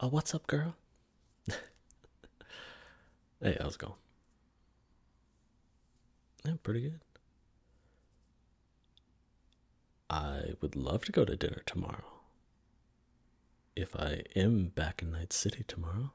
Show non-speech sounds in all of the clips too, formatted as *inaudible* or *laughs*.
Oh, what's up, girl? *laughs* hey, how's it going? I'm pretty good. I would love to go to dinner tomorrow. If I am back in Night City tomorrow.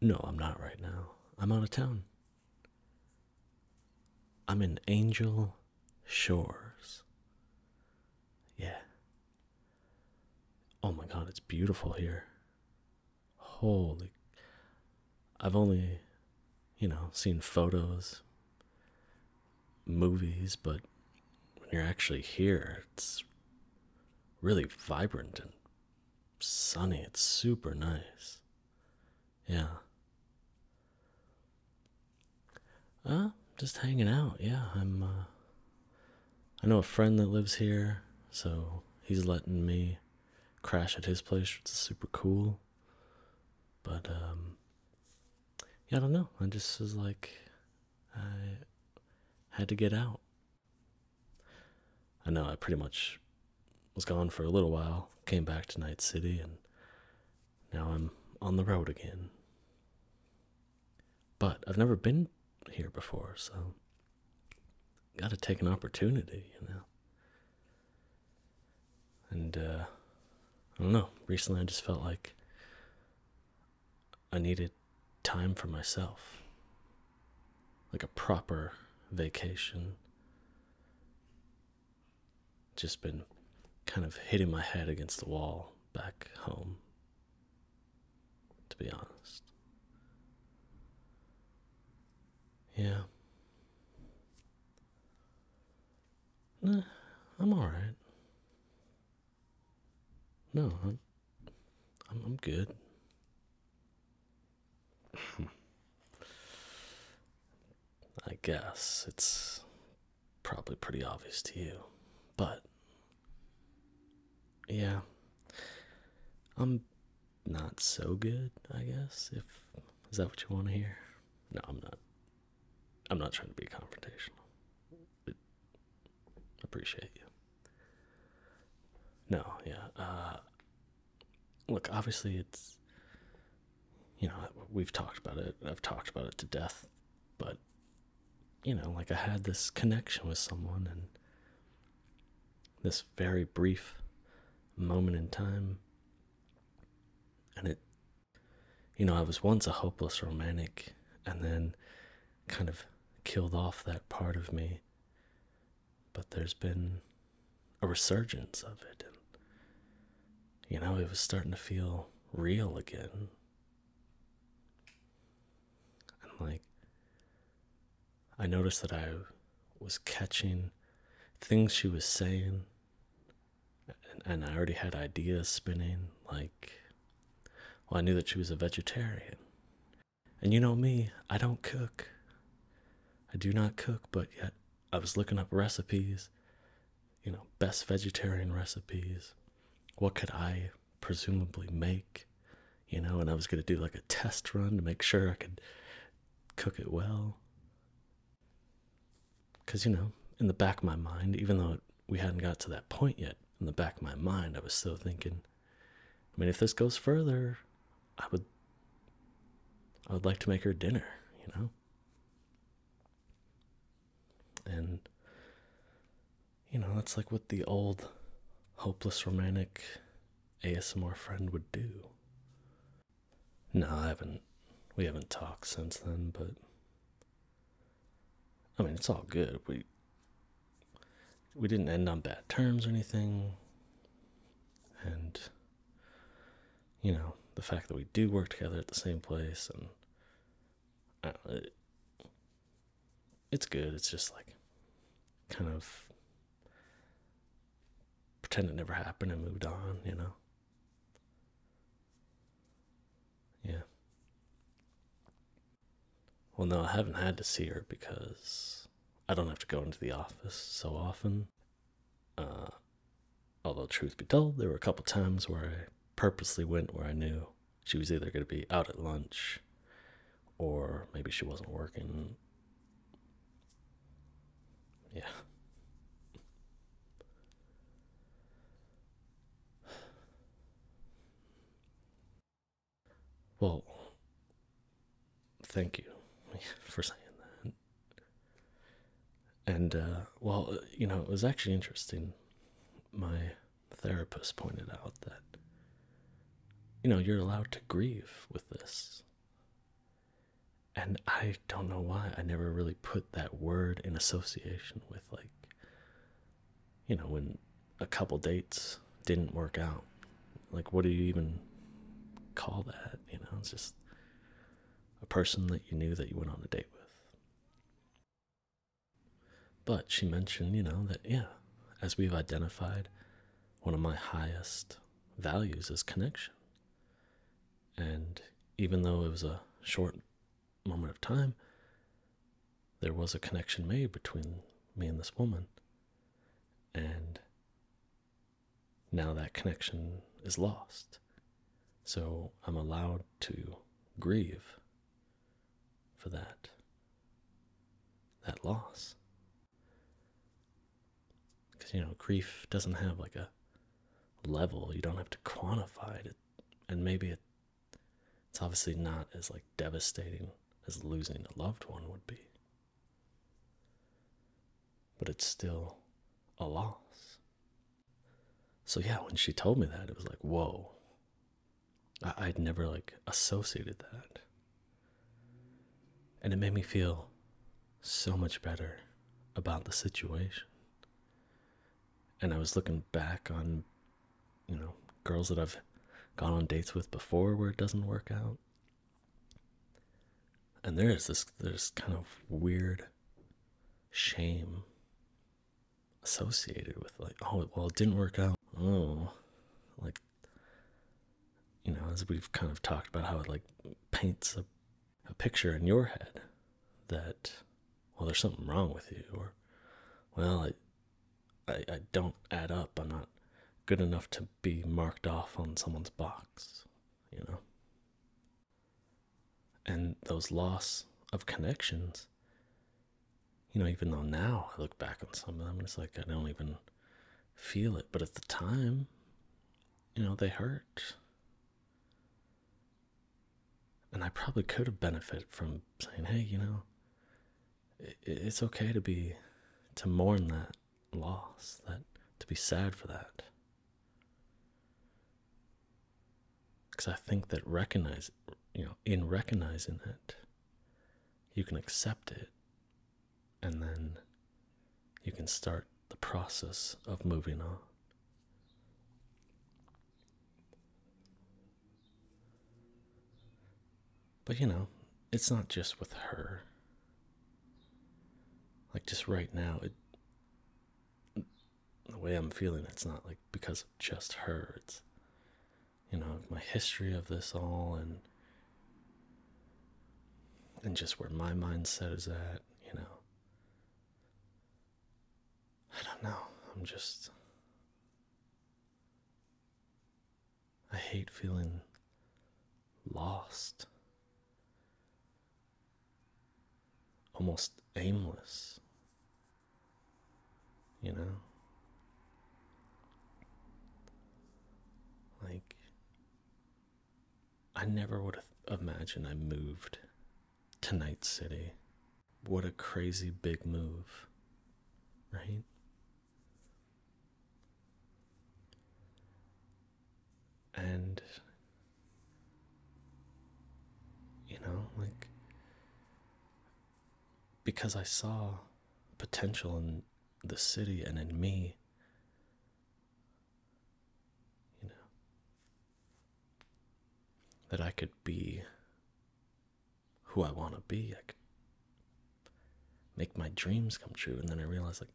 No, I'm not right now. I'm out of town. I'm in Angel Shores. Yeah. Oh my god, it's beautiful here. Holy. I've only, you know, seen photos, movies, but when you're actually here, it's really vibrant and sunny. It's super nice. Yeah. Uh, just hanging out. Yeah, I'm. Uh, I know a friend that lives here, so he's letting me crash at his place, which is super cool. But um, yeah, I don't know. I just was like, I had to get out. I know I pretty much was gone for a little while. Came back to Night City and now I'm on the road again. But I've never been here before, so got to take an opportunity, you know. And uh I don't know, recently I just felt like I needed time for myself. Like a proper vacation just been kind of hitting my head against the wall back home, to be honest. Yeah. I'm alright. No, I'm, I'm good. *laughs* I guess it's probably pretty obvious to you. But yeah, I'm not so good, I guess. If is that what you want to hear? No, I'm not. I'm not trying to be confrontational. appreciate you. No, yeah. Uh, look, obviously it's you know, we've talked about it. I've talked about it to death, but you know, like I had this connection with someone and this very brief moment in time. And it, you know, I was once a hopeless romantic and then kind of killed off that part of me. But there's been a resurgence of it. And you know, it was starting to feel real again. And like, I noticed that I was catching things she was saying, and, and I already had ideas spinning. Like, well, I knew that she was a vegetarian. And you know me, I don't cook. I do not cook, but yet I was looking up recipes you know, best vegetarian recipes. What could I presumably make? You know, and I was going to do like a test run to make sure I could cook it well. Because, you know, in the back of my mind, even though we hadn't got to that point yet, in the back of my mind, I was still thinking, I mean, if this goes further, I would. I would like to make her dinner, you know? and you know that's like what the old hopeless romantic asmr friend would do no i haven't we haven't talked since then but i mean it's all good we we didn't end on bad terms or anything and you know the fact that we do work together at the same place and uh, it's good. It's just like kind of pretend it never happened and moved on, you know? Yeah. Well, no, I haven't had to see her because I don't have to go into the office so often. Uh, Although, truth be told, there were a couple times where I purposely went where I knew she was either going to be out at lunch or maybe she wasn't working. Yeah. Well, thank you *laughs* for saying that and uh, well, uh, you know, it was actually interesting. My therapist pointed out that you know you're allowed to grieve with this, and I don't know why I never really put that word in association with like you know when a couple dates didn't work out. Like, what do you even call that? You know, it's just a person that you knew that you went on a date with. But she mentioned, you know, that, yeah, as we've identified, one of my highest values is connection. And even though it was a short moment of time, there was a connection made between me and this woman. And now that connection is lost. So I'm allowed to grieve for that that loss. Cuz you know, grief doesn't have like a level. You don't have to quantify it. And maybe it's obviously not as like devastating as losing a loved one would be. But it's still a loss. So yeah, when she told me that, it was like, whoa. I would never like associated that. And it made me feel so much better about the situation. And I was looking back on, you know, girls that I've gone on dates with before where it doesn't work out. And there is this this kind of weird shame associated with like oh well it didn't work out oh like you know as we've kind of talked about how it like paints a, a picture in your head that well there's something wrong with you or well I, I i don't add up i'm not good enough to be marked off on someone's box you know and those loss of connections you know even though now i look back on some of them it's like i don't even feel it but at the time you know they hurt and i probably could have benefited from saying hey you know it's okay to be to mourn that loss that to be sad for that because I think that recognize, you know, in recognizing it, you can accept it, and then you can start the process of moving on. But you know, it's not just with her. Like just right now, it the way I'm feeling, it's not like because of just her. It's, you know, my history of this all and and just where my mindset is at, you know. I don't know. I'm just I hate feeling lost almost aimless, you know, like I never would have imagined I moved to Night City. What a crazy big move, right? And you know, like because I saw potential in the city and in me. You know, that I could be who I want to be. I could make my dreams come true. And then I realized, like,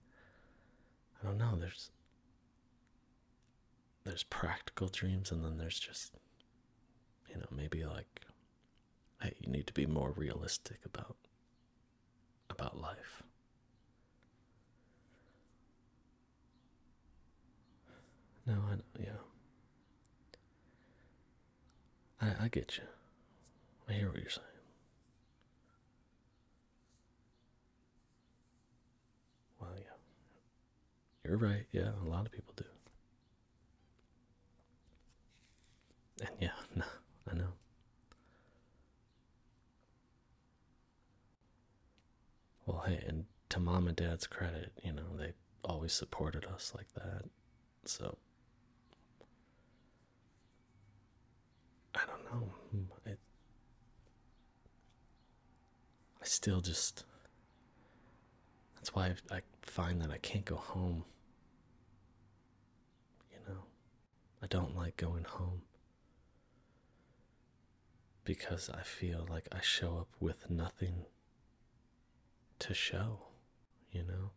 I don't know, there's there's practical dreams and then there's just you know maybe like hey you need to be more realistic about about life no i know, yeah I, I get you. I hear what you're saying. Well, yeah. You're right. Yeah, a lot of people do. And yeah, *laughs* no, I know. Well, hey, and to mom and dad's credit, you know, they always supported us like that. So I don't know. Hmm, I still just that's why I, find that I can't go home. You know, I don't like going home because I feel like I show up with nothing to show, you know.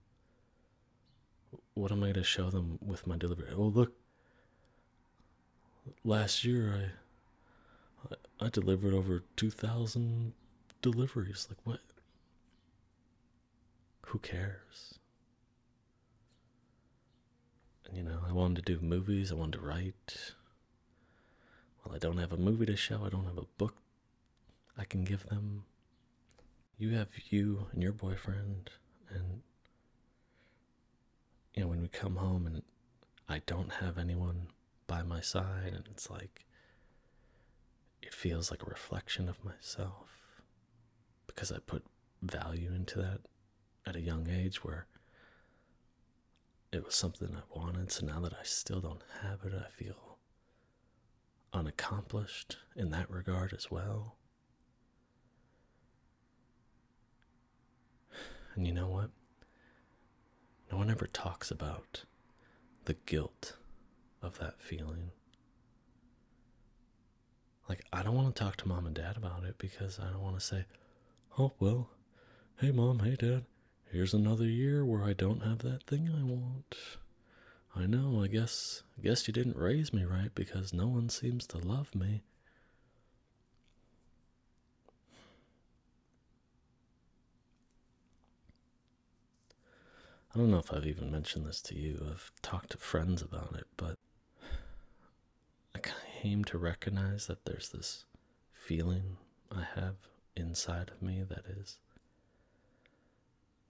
What am I going to show them with my delivery? Oh, look, last year I I, delivered over 2,000 deliveries. Like, what? Who cares? And, you know, I wanted to do movies, I wanted to write. Well, I don't have a movie to show, I don't have a book I can give them. You have you and your boyfriend, and you know, when we come home and I don't have anyone by my side, and it's like it feels like a reflection of myself because I put value into that at a young age where it was something I wanted. So now that I still don't have it, I feel unaccomplished in that regard as well. And you know what? No one ever talks about the guilt of that feeling. Like, I don't want to talk to mom and dad about it because I don't want to say, oh, well, hey, mom, hey, dad, here's another year where I don't have that thing I want. I know, I guess, I guess you didn't raise me right because no one seems to love me. I don't know if I've even mentioned this to you. I've talked to friends about it, but I came to recognize that there's this feeling I have inside of me that is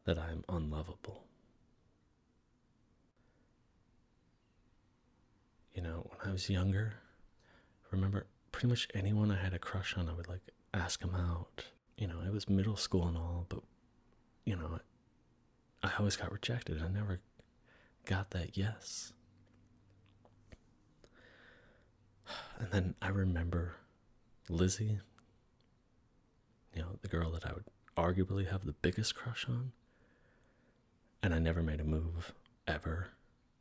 that I'm unlovable. You know, when I was younger, remember pretty much anyone I had a crush on, I would like ask them out. You know, it was middle school and all, but you know, I always got rejected. I never got that yes. And then I remember Lizzie, you know, the girl that I would arguably have the biggest crush on. And I never made a move ever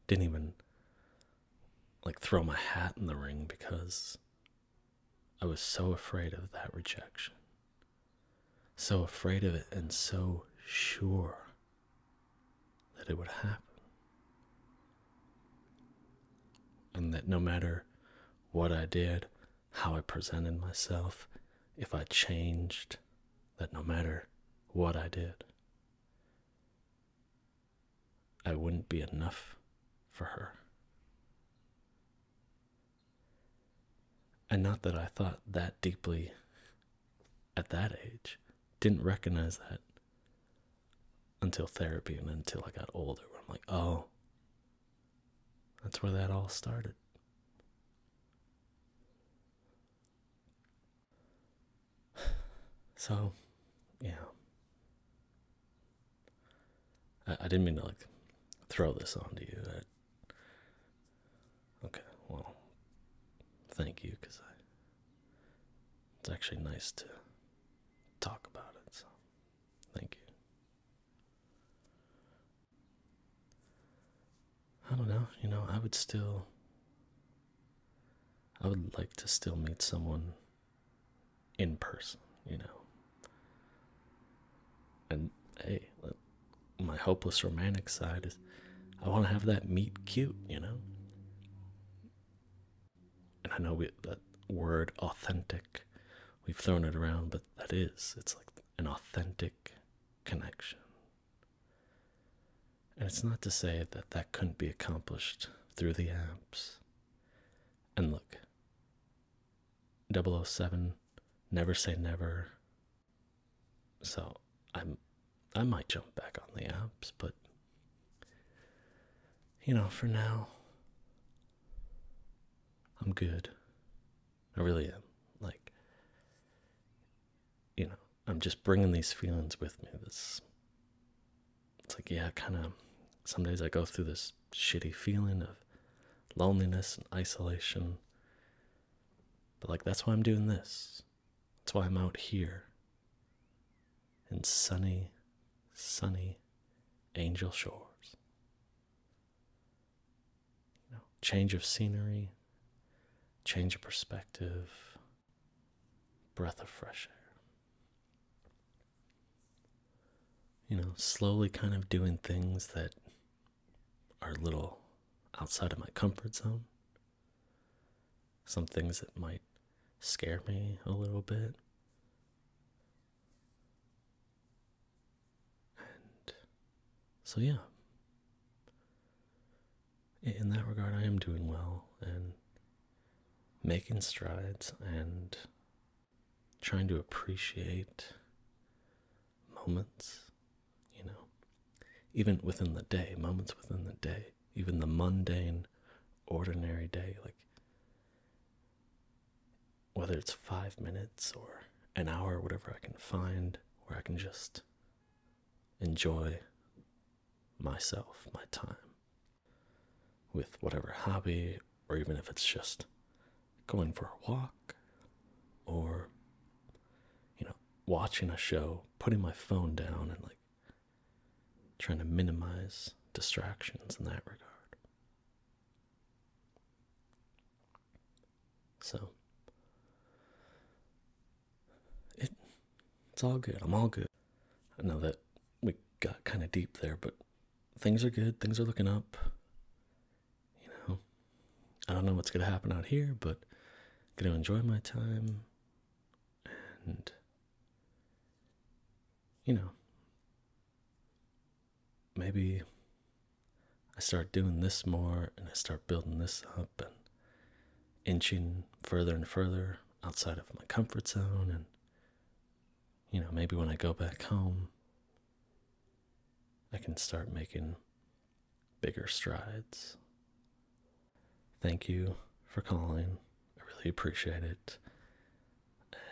didn't even like throw my hat in the ring because I was so afraid of that rejection. So afraid of it and so sure that it would happen. And that no matter what I did, how I presented myself, if I changed, that no matter what I did, I wouldn't be enough for her. And not that I thought that deeply at that age, didn't recognize that until therapy and until I got older, where I'm like, oh, that's where that all started. *sighs* So, yeah. I, I didn't mean to like throw this on to you. I, okay, well, thank you because It's actually nice to talk about it. So, thank you. I don't know. You know, I would still. I would like to still meet someone in person, you know. And hey, my hopeless romantic side is I want to have that meet cute, you know. And I know that word authentic, we've thrown it around, but that is, it's like an authentic connection. And it's not to say that that couldn't be accomplished through the apps, and look 007, Never Say Never. So I'm I might jump back on the apps, but you know, for now I'm good. I really am. Like you know, I'm just bringing these feelings with me. This it's like, yeah, kind of. Some days I go through this shitty feeling of loneliness and isolation. But, like, that's why I'm doing this. That's why I'm out here in sunny, sunny Angel Shores. You know, change of scenery, change of perspective, breath of fresh air you know, slowly kind of doing things that are a little outside of my comfort zone. Some things that might scare me a little bit. And so, yeah. In that regard, I am doing well, and making strides and trying to appreciate moments, you know, even within the day, moments within the day, even the mundane, ordinary day, like whether it's five minutes or an hour, whatever I can find, where I can just enjoy myself, my time with whatever hobby, or even if it's just going for a walk or, you know, watching a show, putting my phone down and like trying to minimize distractions in that regard. So it it's all good. I'm all good. I know that we got kind of deep there, but things are good. Things are looking up. You know, I don't know what's going to happen out here, but going to enjoy my time and you know maybe I start doing this more and I start building this up and inching further and further outside of my comfort zone and you know, maybe when I go back home, I can start making bigger strides. Thank you for calling. I really appreciate it.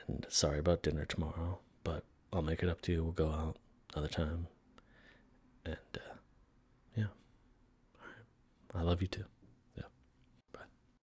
And sorry about dinner tomorrow, but I'll make it up to you. We'll go out another time. And, uh, yeah. All right. I love you too. Yeah. Bye.